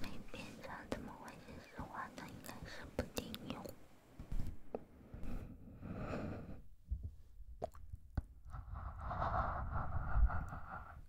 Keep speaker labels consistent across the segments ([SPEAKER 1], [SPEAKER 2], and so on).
[SPEAKER 1] 没变长怎么会现实话呢？应该是不顶用。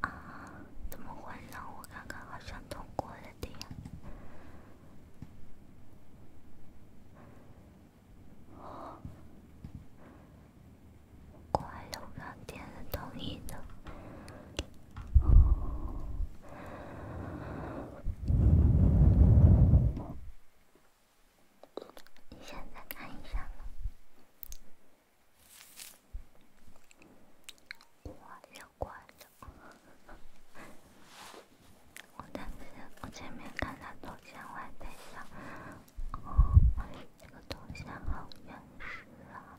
[SPEAKER 1] 啊，怎么换上？我刚刚好像通过了的。我还有刚点同意的。你现在看一下我我前面看头像，我还在想，哦，这个头像好原始啊。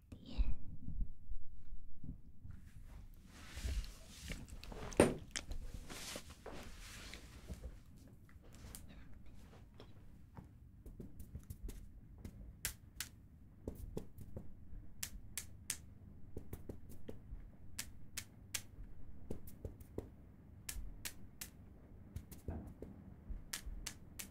[SPEAKER 1] 点。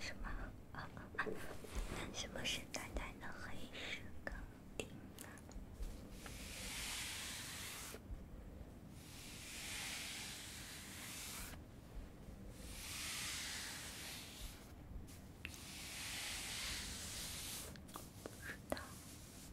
[SPEAKER 1] 什么？啊啊啊！什么是淡淡的黑史歌单？不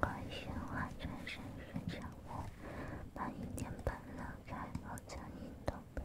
[SPEAKER 1] 快旋转，伸伸胳膊，把一天搬开，我将你逗遍。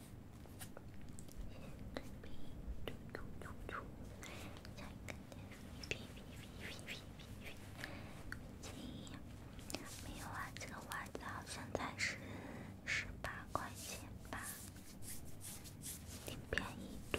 [SPEAKER 1] 没有啊，这个几？几？几？几？几？十八块钱吧，几？几？几？几？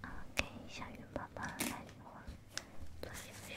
[SPEAKER 1] 啊，给小云宝宝来电话，儿做游戏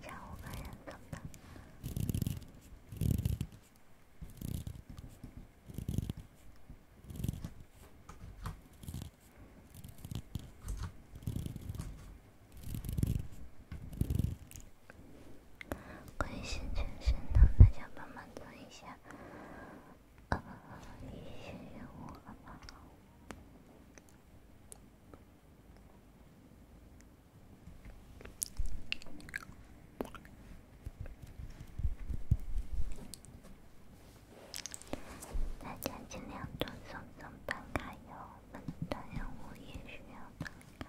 [SPEAKER 1] 加五个人怎么办？关心全身的，大家帮忙做一下。一些任务。大家尽量多送送办卡哟，本们当然物业需要办卡。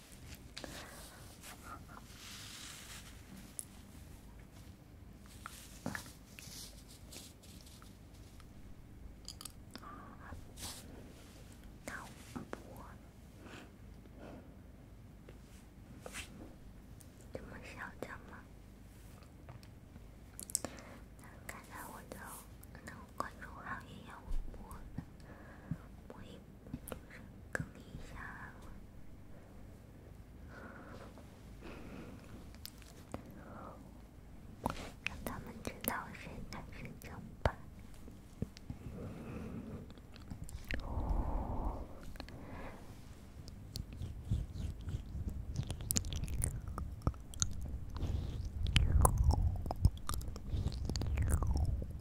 [SPEAKER 1] 啊！不播，不播，这么嚣张吗？看到我就能关注好友，也我不播，播一。让他们知道谁在是正吧。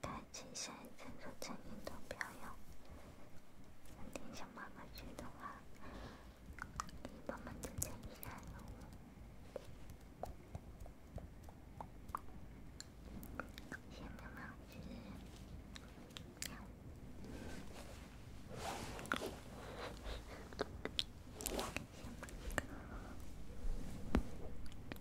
[SPEAKER 1] 开启现在正在成年的漂游。有点想妈妈去的话，你帮忙拯救一下我。想妈妈去。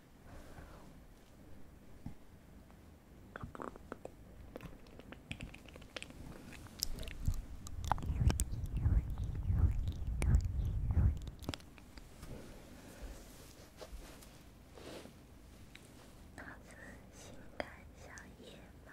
[SPEAKER 1] 老子性感小野猫。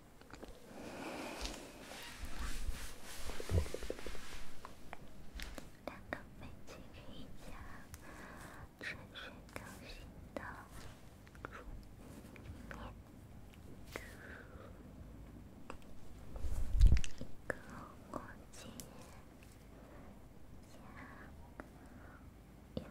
[SPEAKER 1] 两个飞机可以加，持续更新的桌面壁纸，一个火箭加有毒。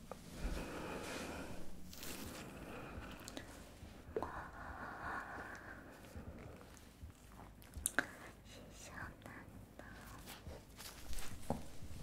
[SPEAKER 1] 谢小楠的家，搬家。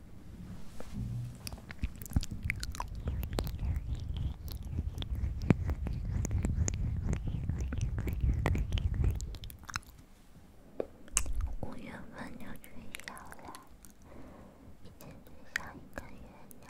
[SPEAKER 1] 五月份就取消了，已经取消一个月了。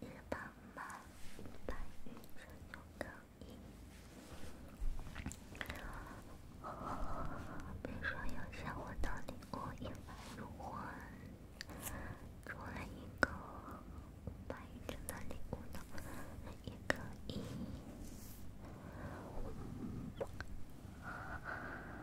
[SPEAKER 1] 日本吗？白羽真的可以？别说有下火的礼物，一百入魂。除了一个白羽的礼物的，也可以。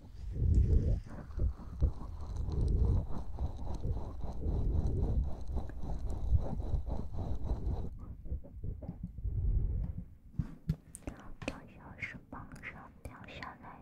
[SPEAKER 1] 好像是往上掉下来，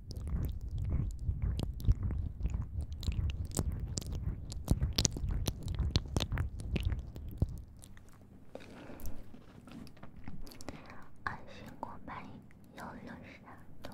[SPEAKER 1] 安心购买，幺六三六。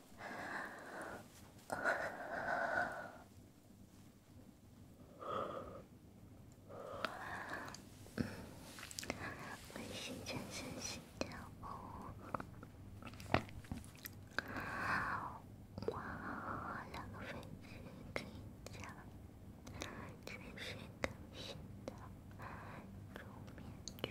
[SPEAKER 1] 微信健身系统哦，我两个飞机可以加，只是更新的桌面曲。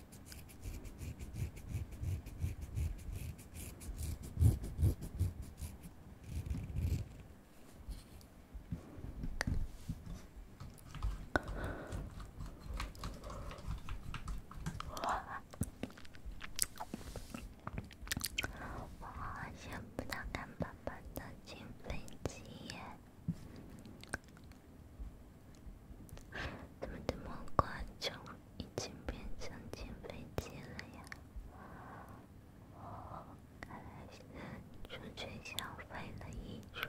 [SPEAKER 1] 我好想不到看爸爸的金飞机？怎么这么快就已经变成减肥机了呀？看来是出去消费了一圈。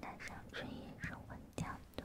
[SPEAKER 1] 南上春野，生欢叫多。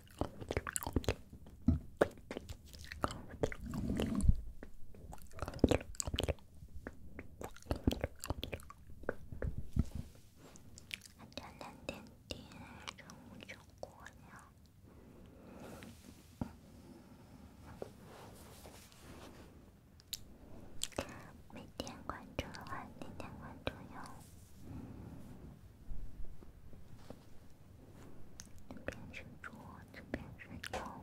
[SPEAKER 1] 大家点点点，点点关注呀！没点关注的话，点点关注呀！一边吃桌子，一边睡觉。别再没事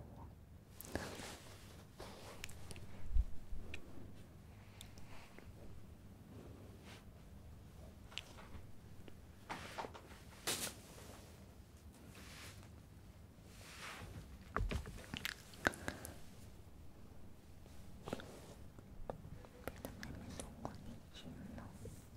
[SPEAKER 1] 做，你行了。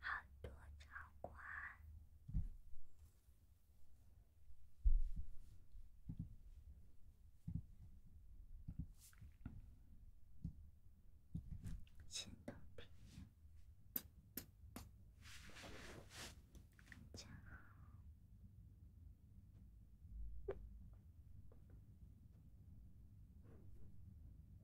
[SPEAKER 1] 好多场馆，新产品，真好。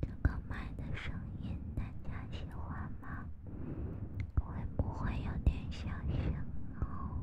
[SPEAKER 1] 这个麦的声音大家喜欢吗？会不会有点小声哦？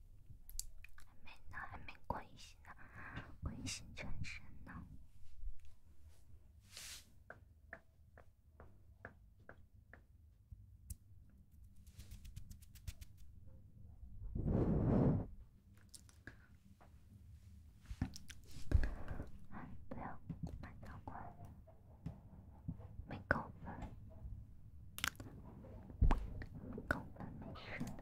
[SPEAKER 1] 还没呢，还没过心呢，关心全身呢。哎，不要，马上关了，没够分，够分没事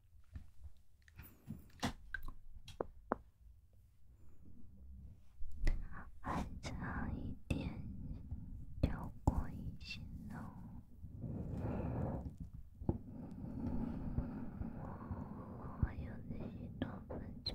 [SPEAKER 1] 还差一点，跳过一些了，我还有十多分钟。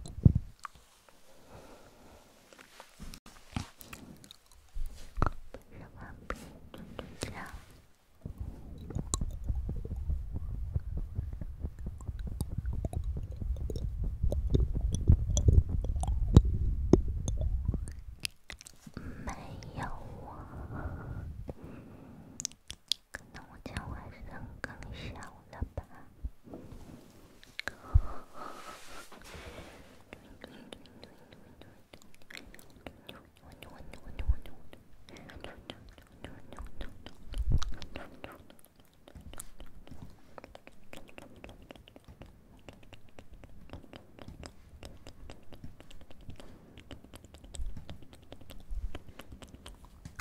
[SPEAKER 1] 不是幻听，就是这样。没有啊。可能我讲晚上更小了吧。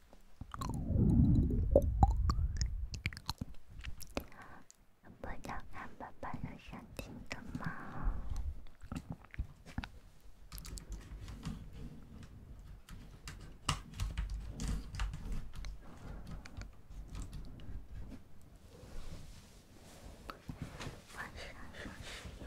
[SPEAKER 1] 不知道，看爸爸有相亲的吗？晚上休息有。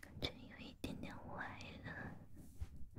[SPEAKER 1] 感觉有一点点歪了。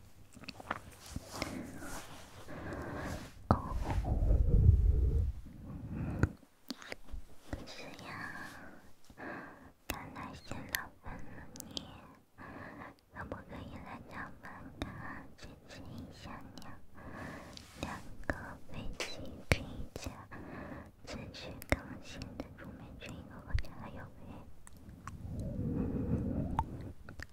[SPEAKER 1] 哦，是呀，看来是老板了你，可不可以来家门看看最近销量？两个飞机 K 架，持续更新的桌面群和个人优惠。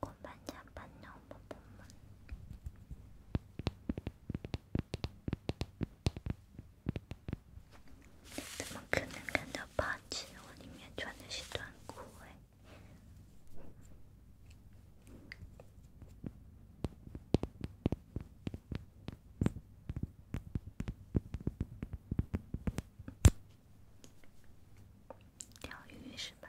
[SPEAKER 1] 我怎么可能看到报纸？我里面穿的是短裤钓鱼是吧？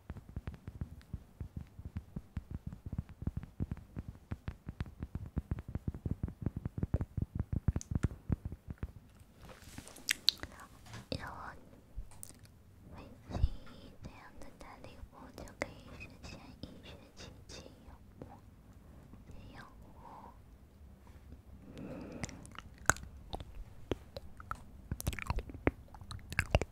[SPEAKER 1] 有微信这样的大礼物，就可以实现一学期自由。自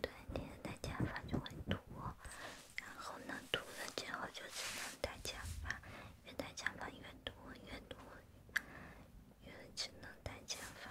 [SPEAKER 1] 对，你戴假发就会秃，然后呢，秃了之后就只能戴假发，越戴假发越多，越多，越只能戴假发。